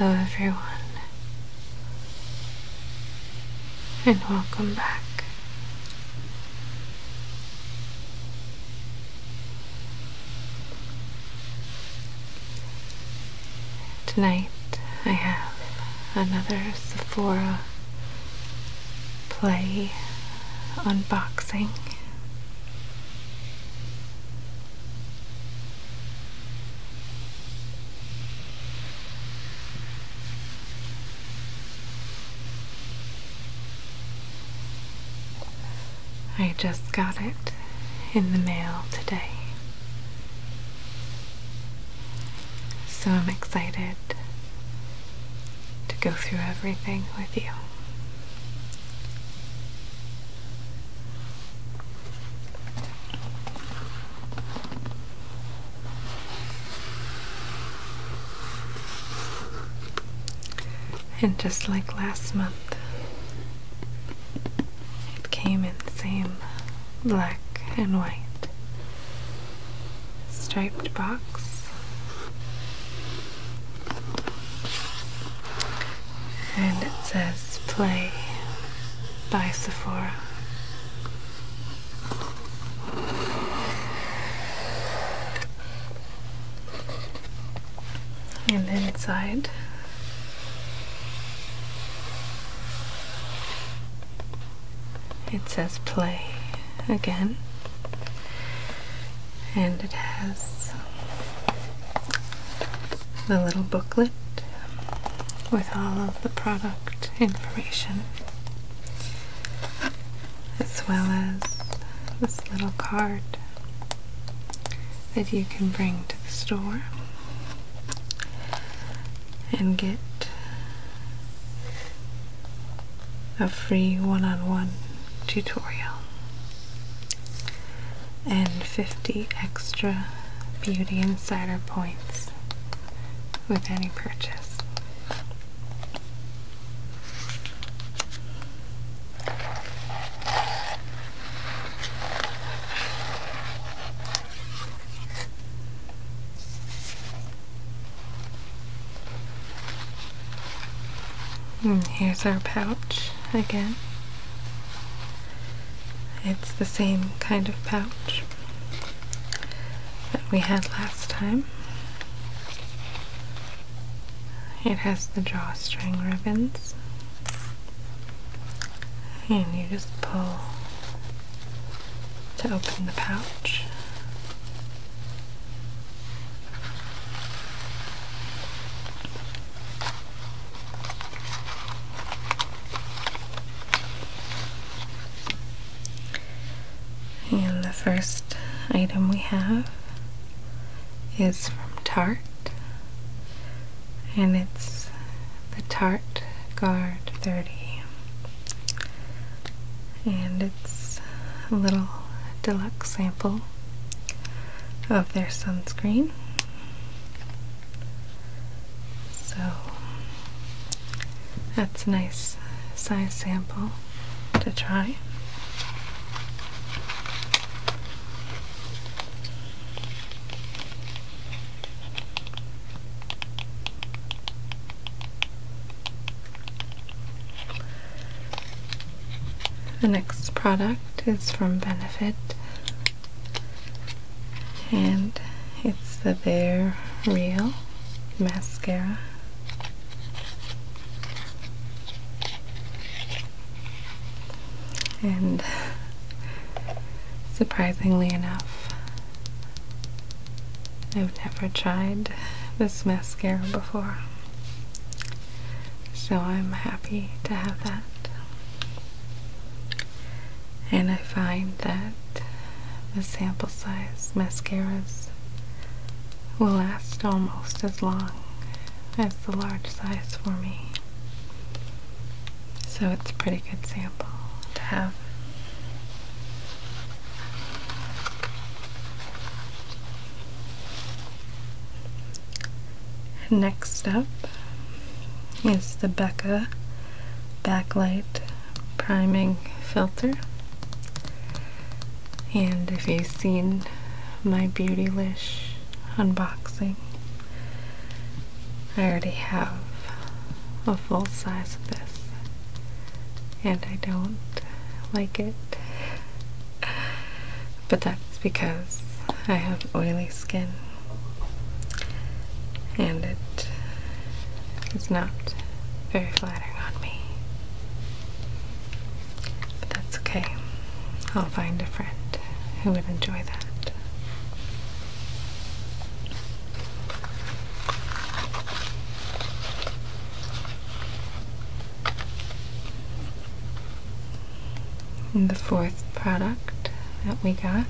Hello, everyone, and welcome back. Tonight I have another Sephora play unboxing. I just got it in the mail today. So I'm excited to go through everything with you and just like last month, it came in the same black and white striped box. And it says Play by Sephora and inside it says play again and it has the little booklet with all of the product information as well as this little card that you can bring to the store and get a free one-on-one tutorial and 50 extra beauty insider points with any purchase here's our pouch again. It's the same kind of pouch that we had last time. It has the drawstring ribbons, and you just pull to open the pouch. And the first item we have is from Tarte, and it's the Tarte Guard 30. And it's a little deluxe sample of their sunscreen. So that's a nice size sample to try. The next product is from Benefit and it's the Their Real Mascara. And surprisingly enough, I've never tried this mascara before. So I'm happy to have that. And I find that the sample size mascaras will last almost as long as the large size for me. So it's a pretty good sample to have. Next up is the Becca Backlight Priming Filter and if you've seen my Beautylish unboxing, I already have a full size of this, and I don't like it. But that's because I have oily skin and it is not very flat. But that's okay. I'll find a friend who would enjoy that. the fourth product that we got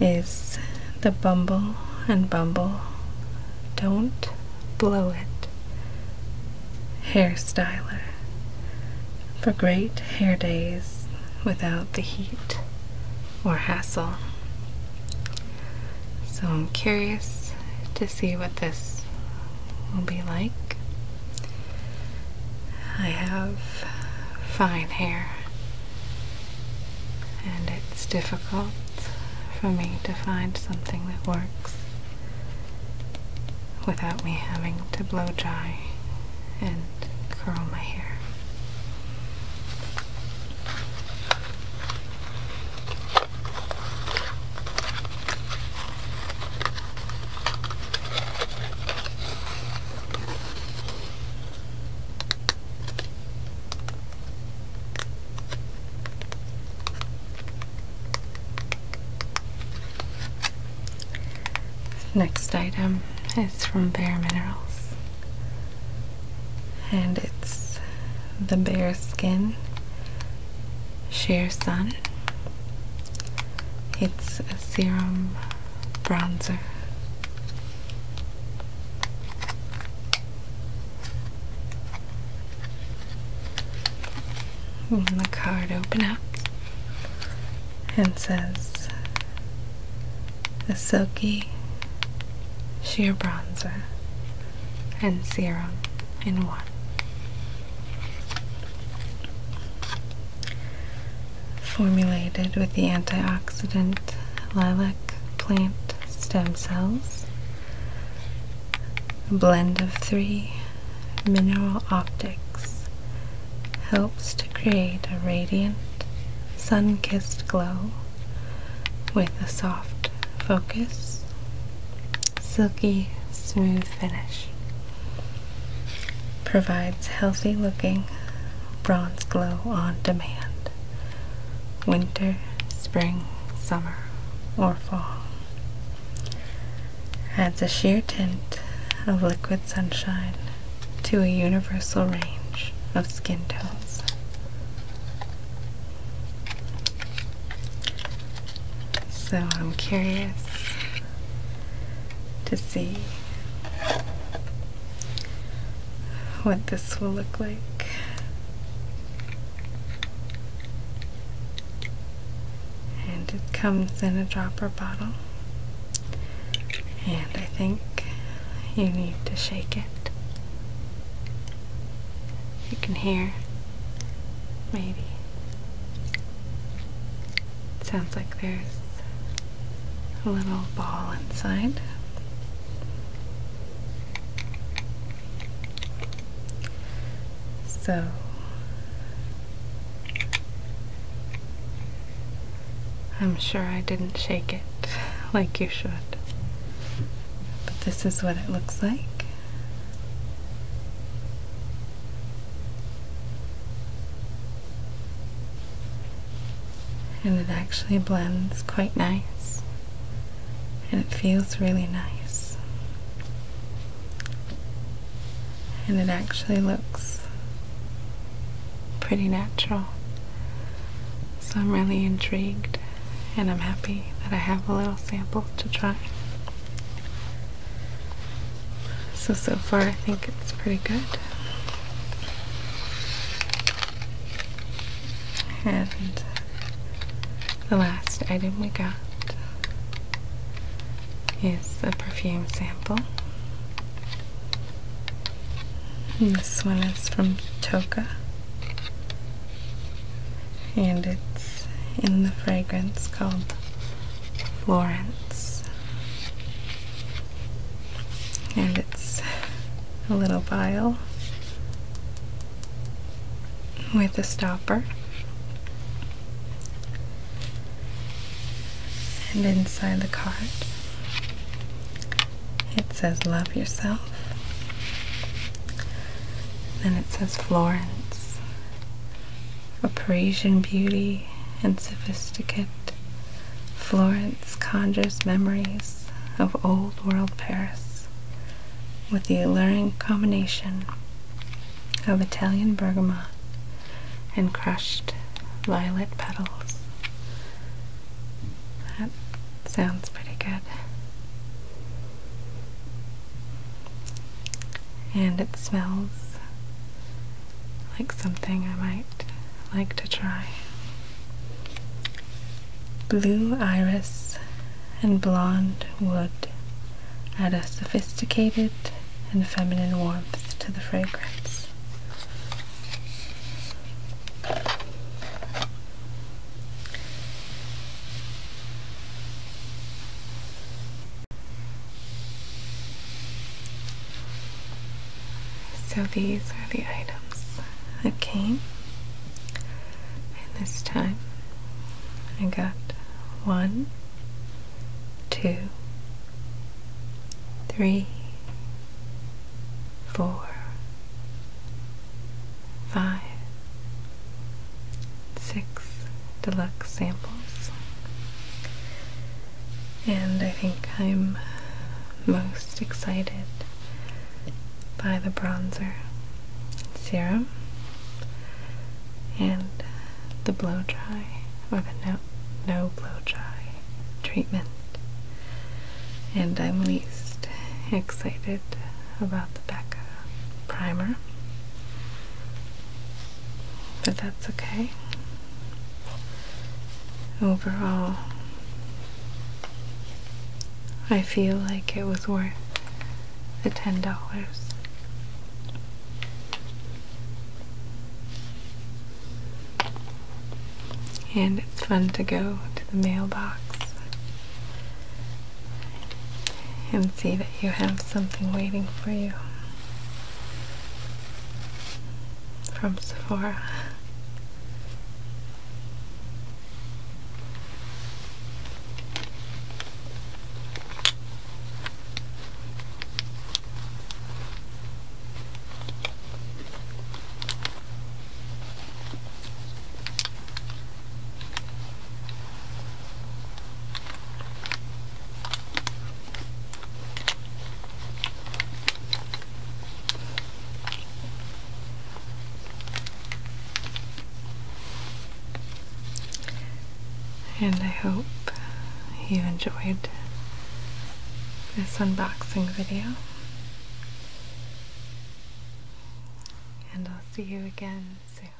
is the bumble and bumble don't blow it hairstyler for great hair days without the heat or hassle so I'm curious to see what this will be like I have fine hair and it's difficult for me to find something that works without me having to blow dry and curl my hair. Next item is from Bare Minerals, and it's the Bare Skin Sheer Sun. It's a serum bronzer and the card open up and says a silky sheer bronzer and serum in one. Formulated with the antioxidant lilac plant stem cells, blend of three mineral optics helps to create a radiant, sun kissed glow with a soft focus, silky, smooth finish. Provides healthy looking bronze glow on demand winter, spring, summer, or fall. Adds a sheer tint of liquid sunshine to a universal range of skin tones. So I'm curious to see what this will look like. And it comes in a dropper bottle. And I think you need to shake it. You can hear, maybe. sounds like there's a little ball inside. So I'm sure I didn't shake it like you should. But this is what it looks like and it actually blends quite nice and it feels really nice and it actually looks pretty natural so I'm really intrigued and I'm happy that I have a little sample to try so so far I think think it's pretty good. And the last item we got is a perfume sample. this one is from Toca, And it's in the fragrance called Florence and it's a little vial with a stopper and inside the card it says love yourself then it says Florence a Parisian beauty pretty and sophisticate, Florence conjures memories of old world Paris with the alluring combination of Italian bergamot and crushed violet petals. That sounds pretty good. And it smells like something I might like to try. Blue iris and blonde wood add a sophisticated and feminine warmth to the fragrance. So these are the items that came. And this time I got one, two, three, four, five, six deluxe samples and I think I'm most excited by the bronzer serum and the blow dry or the no, no blow dry treatment. And I'm least excited about the Becca primer. But that's okay overall, I feel like it was worth the ten dollars. And it's fun to go to the mailbox and see that you have something waiting for you from Sephora. And I hope you enjoyed this unboxing video. And I'll see you again soon.